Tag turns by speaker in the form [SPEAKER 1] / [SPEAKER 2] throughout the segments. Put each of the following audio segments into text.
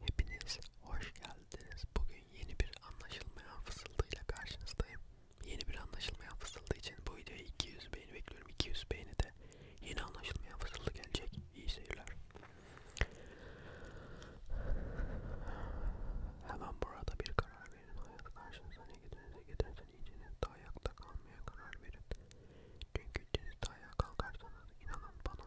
[SPEAKER 1] Hepiniz hoş geldiniz. Bugün yeni bir anlaşılmayan fısıldıyla karşınızdayım. Yeni bir anlaşılmayan fısıldı için bu videoya 200 beğeni bekliyorum. 200 beğeni de yeni anlaşılmayan fısıldı gelecek. İyi seyirler. Hemen burada bir karar verin. Hayat karşınıza ne gidiyorsa gidersen iyiciniz de ayakta kalmaya karar verin. Çünkü iyiciniz de ayağa kalkarsanız inanın bana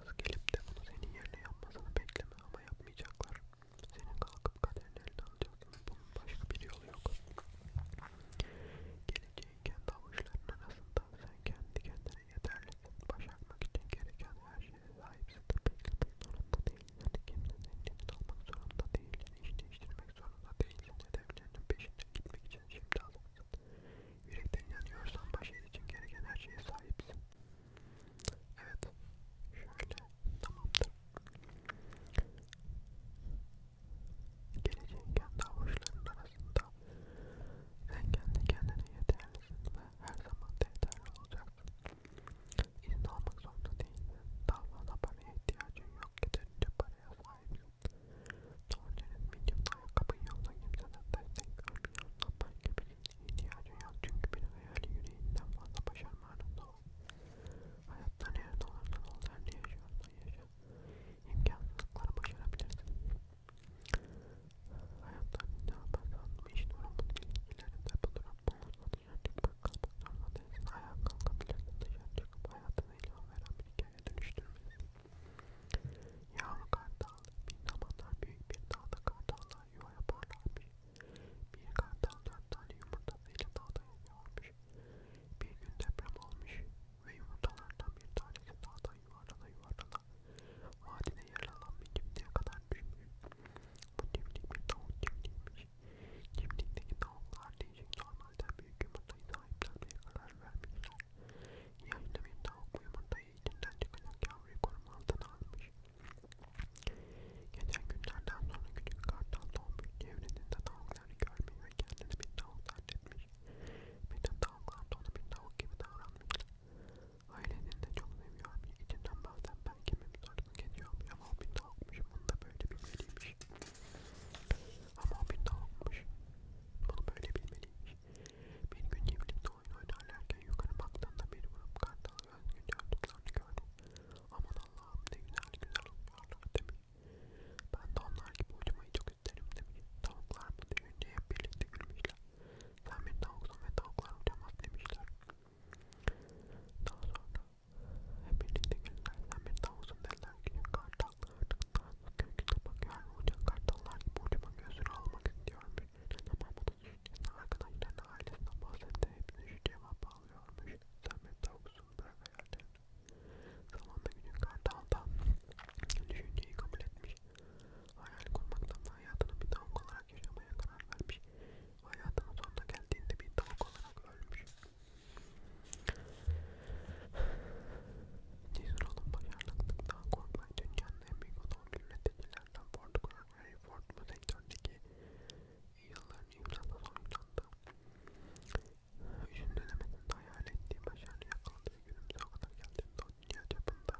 [SPEAKER 1] başkası gelip de bunu senin yerine yapmasını bekleme ama yapmayacaklar. Senin kalkıp kaderini eline alacaksın. Bunun başka bir yolu yok. Geleceğin kendi avuçlarının arasında sen kendi kendine yeterlisin. Başarmak için gereken her şeye sahipsin. Beklemek zorunda değilsin. Hani kimse senin elini almak zorunda değil. İş değiştirmek zorunda değilsin. Hedeflerinin peşine gitmek için şimdi hazırsın. Yürekten inanıyorsan başarı için gereken her şeye sahipsin. Evet. Şöyle. Tamamdır. Geleceğin kendi avuçlarının arasında sen kendi kendine yeterlisin ve her zaman da yeterli olacaksın. İzin almak zorunda değilsin. Daha fazla paraya ihtiyacın yok. Yeterince paraya sahipsin. Doğru'nun medium'da ayakkabın yoluna girse de tersten görmüyor. Tapar gibi ihtiyacın yok çünkü bir hayali yüreğinden fazla başarma anında o. Hayatta nerede olursan ol, sen ne yaşıyorsan yaşa. İmkansızlıkları başarabilirsin. Hayatta ne yaparsan iş durumun ilişkilerinde bulurum. Bununla dışarı çıkmak kalmak zorunda değilsin. Ayağa kalkabilirsin dışarı çıkıp hayatına ilham veren bir hikaye dönüştürmesin. Yağlı kartal bin zamanlar büyük bir dağda kartallar yuva yaparlarmış. Bir kartal dört tane yumurtasıyla dağda yaşıyormuş. Bir gün deprem olmuş ve yumurtalardan bir tanesi dağdan yuvarlana yuvarlana vadide yaralan bir cimdiye kadar düşmüş. Bu cimdik bir tavuk cimdikmiş. Cimdikteki tavuklar değişik normalden büyük yumurtayı sahiplenmeye karar vermişler. Yayında bir tavuk uyumundayı içinden çıkacak yavruyu koruma altına almış. Geçen günlerden sonra küçük kartal doğmuş. Çevresinde tavukları görmeyi ve kendini bir tavuk zannetmiş. Bütün tavuklar da ona bir tavuk gibi davranmış. Ailenin de çok seviyormuş. İçinden bazen ben kimim sorunu geçiyormuş ama o bir tavukmuş. Bunu da böyle bilmeliymiş. Ama o bir tavukmuş. Bunu böyle bilmeliymiş. Bir gün çiftlikte oyun oynarlarken yukarı baktığında bir grup kartal gözgün çocuklarını gördüm. Aman Allah'ım ne güzel güzel uçuyorlar demiş. Ben de onlar gibi uçmayı çok isterim demiş. Tavuklar mı düşünce hep birlikte gülmüşler. Sen bir tavuksun ve tavuklar uçamaz demişler. Daha sonra hep birlikte güldüler. Sen bir tavuksun dediler ki kartallar Nazlı köküne bakıyorum. Uçan kartallar gibi ucuma gözünü almak istiyorum. Birinin ama bunun şimdi arkadaşlarına ailesinden bahsetti. Hepsini şu cevap alıyormuş. Sen bir tavuksun bırak hayallerini. Zamanla günün kartal da düşünceyi kabul etmiş. Hayal kurmaktan da hayatını bir tavuk olarak yaşamaya karar vermiş. Hayatının sonuna geldiğinde bir tavuk olarak ölmüş. Nisan'ın başarılarından korkmayın. Dünyanın en büyük otomobil üreticilerden Ford Corner Ford bu sektördeki yılların imzada sonuçlandı. Üçün döneminde hayal ettiği başarı yakaladı ve günümüze o kadar geldiğinde o dünya çapında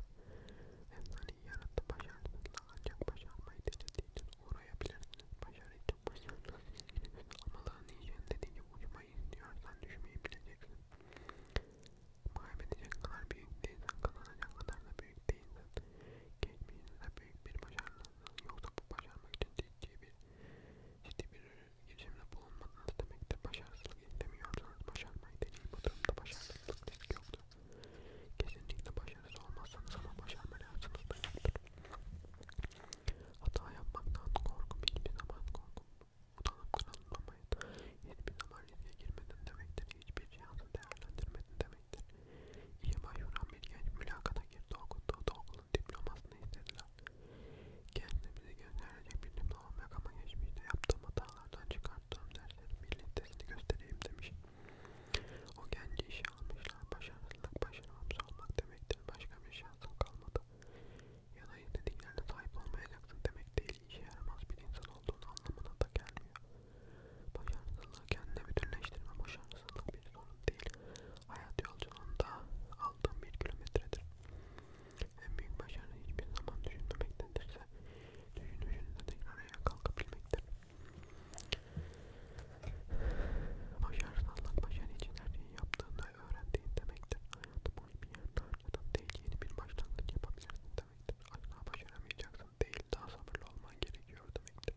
[SPEAKER 1] efsaneyi yarattı. Başarısızla ancak başarmayı denediğiniz uğrayabilirsiniz. Başarı için başarısız ilginiz olmalarını yiyeceğin dediği gibi ucuma yapmayın diyorsan düşmeyi bileceksin. Kaybedecek kadar büyük değilsen, kazanacak kadar da büyük değilsen, geçmişinizde büyük bir başarınızdan yoksa bu başarmak için ciddi bir, ciddi bir
[SPEAKER 2] girişimde bulunmadınız demektir. Başarısızlık istemiyorsanız başarmayı deneyin. Bu durumda başarısızlık risk yoktur. Kesinlikle başarısız olmazsanız ama başarma lazımdır. Hata yapmaktan korkum hiçbir zaman korkum. Utanıp kırılmamayın. Hiçbir zaman riske girmedin demektir. Hiçbir şansı değerlendirmedin demektir. İYİBA Yunan bir genç mülakata girdi okuttuğu okulun diplomasını istediler. Kendine bize gösterecek bir diplomam yok ama geçmişte yaptığım hatalardan çıkarttığım derslerin birliktesini göstereyim demiş. O genci işe almışlar. Başarılılık başarılmış olmak demektir. Başka bir şey şansın kalmadı. Ya da istediklerine sahip olmayacaksın demek değil, işe yaramaz bir insan olduğunu anlamına da gelmiyor. Başarısızlığı kendine bütünleştirme başarısızlık bir sorun değil. Hayat yolculuğunda aldığım bir kilometredir. En büyük başarı hiçbir zaman düşünmemektendirse, düşünüşünüze tekrar ayağa kalkabilmektir. Başarısız olmak başarı için her şeyi yaptığında öğrendiğin demektir. Hayatı boyu bir yerden harcadan değil yeni bir başlangıç yapabilirsin demektir. Asla başaramayacaksın değil daha sabırlı olman gerekiyor demektir.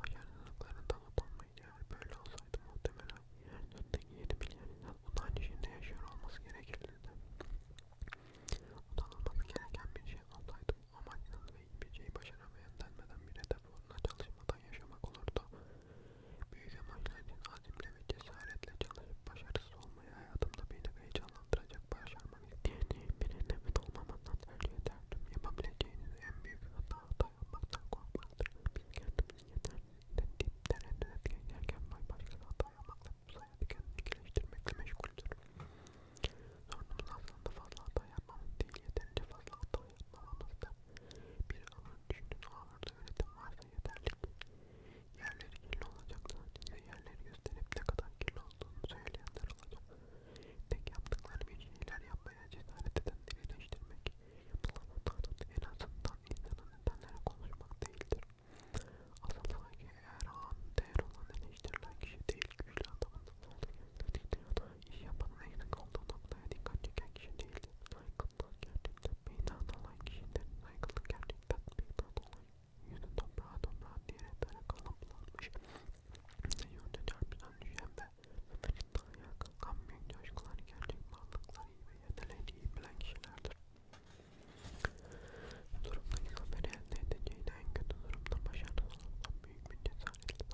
[SPEAKER 2] Başarısızlıklarından utanmayın eğer böyle olsaydı muhtemelen yeryüzündeki yeni bilen insan utanç içinde yaşıyor olması gerekirdi. Utanılması gereken bir şey olsaydı ama inanın ve hiçbir şeyi başaramayan denmeden bir hedef uğruna çalışmadan olmadan yaşamak olurdu. Büyük amaçların hani azimle ve cesaretle çalışıp başarısız olmayı hayatımda beni heyecanlandıracak başarmak isteyeni birine emin olmamandan tercih ederdim. Yapabileceğiniz en büyük hata dayanmaktan korkmaktır. Biz kendimizi yeterli tereddüt geçerken başkası hata yapmakla bu sayede kendini geliştirmekle meşguldür. Sorunumuz aslında fazla hata hata yapmamız değil, yeterince fazla hata yapmamamızda bir alan düşünün ağırda üretim varsa yeterli ki yerleri kirli olacaksa size yerleri gösterip ne kadar kirli olduğunu söyleyenler olacak. Tek yaptıkları bir şeyler yapmaya cesaret edenleri eleştirmek, yapılan hatanın en azından insanın nedenleri konuşmak değildir. Asıl sanki eğer ağanın değer olan eleştirilen kişi değil, ilk güçlü adamın olduğunu titriyordu. İş yapanın eğlenik olduğu noktaya dikkat çeken kişi değildi. Saygınlık gerçekten meydan olan kişidir. Saygınlık gerçekten meydan olan yüzü toprağa toprağa diyerek böyle kalıplanmış. Yönde çarpıdan düşen ve ömerin de ayağa kalkan büyük coşkular gerçek varlıklar iyi ve yeteneği iyi bilen kişilerdir. Durumdaki haberi elde edeceği en kötü durumda başarısız olan büyük bir cesaretle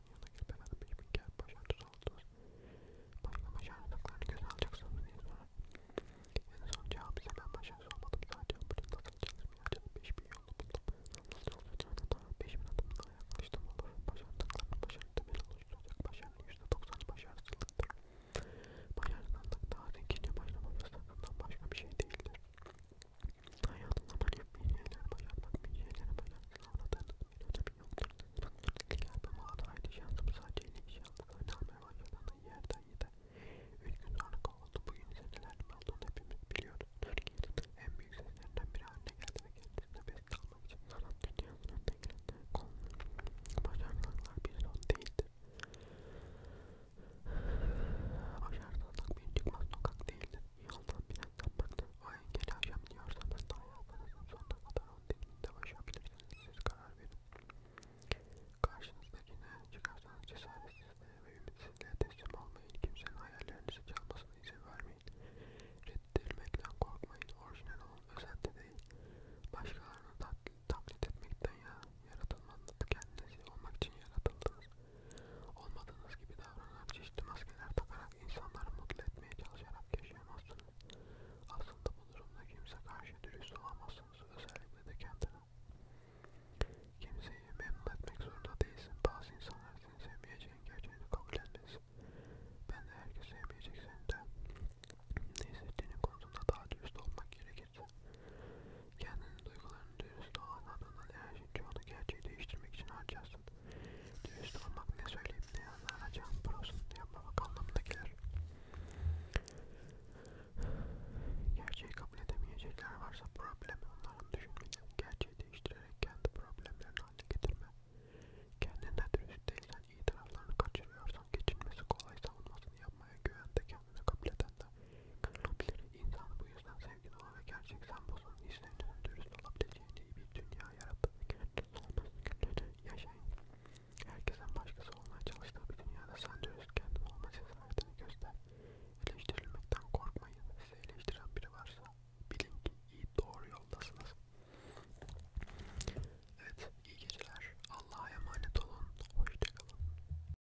[SPEAKER 2] Sonra yanına gelip hemen bir gel başını tutalım. Başına başardıklarını göze alacaksınız diye sonra. En son cevap ise ben başarısız olmadım. Sadece ambulans atılacağım. Ya canım 5000 yolunu buldum. Sonra daha 5000 adımına yaklaştım olur. Başardıklarını başarı temel oluşturacak. Başarının %90'ı başarısızlıktır. Başarısızlık daha zengince başlama fırsatından başka bir şey değildir. Hayatımda böyle bir şeyler başarmak, bir şeylere başarmak anladığınız bir ödemi yoktur. Geldim ağda haydi şansım sadece ilişki aldı. Oynamaya başladığında yerden yedi. Üç gün sonra kovuldu. Bugün ise nelerin olduğunu hepimiz biliyoruz. Türkiye'nin en büyük seslerinden biri haline geldi ve kendisine beste almak için sanat dünyasının tekrarında konulu. Başarmaklar bir son değildir. Başarmaklar bir çıkmaz sokak değildir. Yoldan binetten baktı. O engeli aşamıyorsanız da hayatınızın sonuna kadar onun dilinde başabilirsiniz. Siz karar verin. Karşınızdakine çıkarsanız cesaretsizliğe ve ümitsizliğe teslim olmayın. Kimsenin hayallerinizi çalmasına izin vermeyin. Reddedilmekten korkmayın. Orijinal olun. Özellikle değil. Başkalarını tak taklit etmekten ya yaratılmanız kendinizi olmak için yaratıldınız. Olmadığınız gibi davranan çeşitli maskeler takarak insanları mutlu etmeye çalışarak yaşayamazsınız. Aslında bu durumda kimse karşı dürüst olamazsınız. Özellikle de kendine. Kimseyi memnun etmek zorunda değilsin. Bazı insanlar seni sevmeyeceğin gerçeğini kabul etmez. Ben de herkes sevmeyecek seni de. Ne hissettiğinin konusunda daha dürüst olmak gerekirse. Kendini duygularını dürüst olmadığından her şeyin çoğunu gerçeği değiştirmek için harcarsın. Dürüst olmak ne söyleyip ne anlayacağın burasını yapmamak anlamına gelir. Gerçeği kabul edemeyecekler varsa problemi onların düşünmeden gerçeği değiştirerek kendi problemlerini haline getirme. Kendine dürüst değilsen, iyi taraflarını kaçırıyorsan, geçinmesi kolay savunmasını yapmaya güvende kendine kapleten de kalabilir. İnsan bu yüzden sevgili olan ve gerçek sembozun işlerinin dürüst olabileceğini bir dünya yarattı ve kendiniz olmasını günlüğünü yaşayın. Herkesin başkası olmaya çalıştığı bir dünyada sen dürüst kendin olma cesaretini göster. Eleştirilmekten korkmayın. Size eleştiren biri varsa bilin ki iyi doğru yoldasınız. Evet, iyi geceler. Allah'a emanet olun. Hoşçakalın.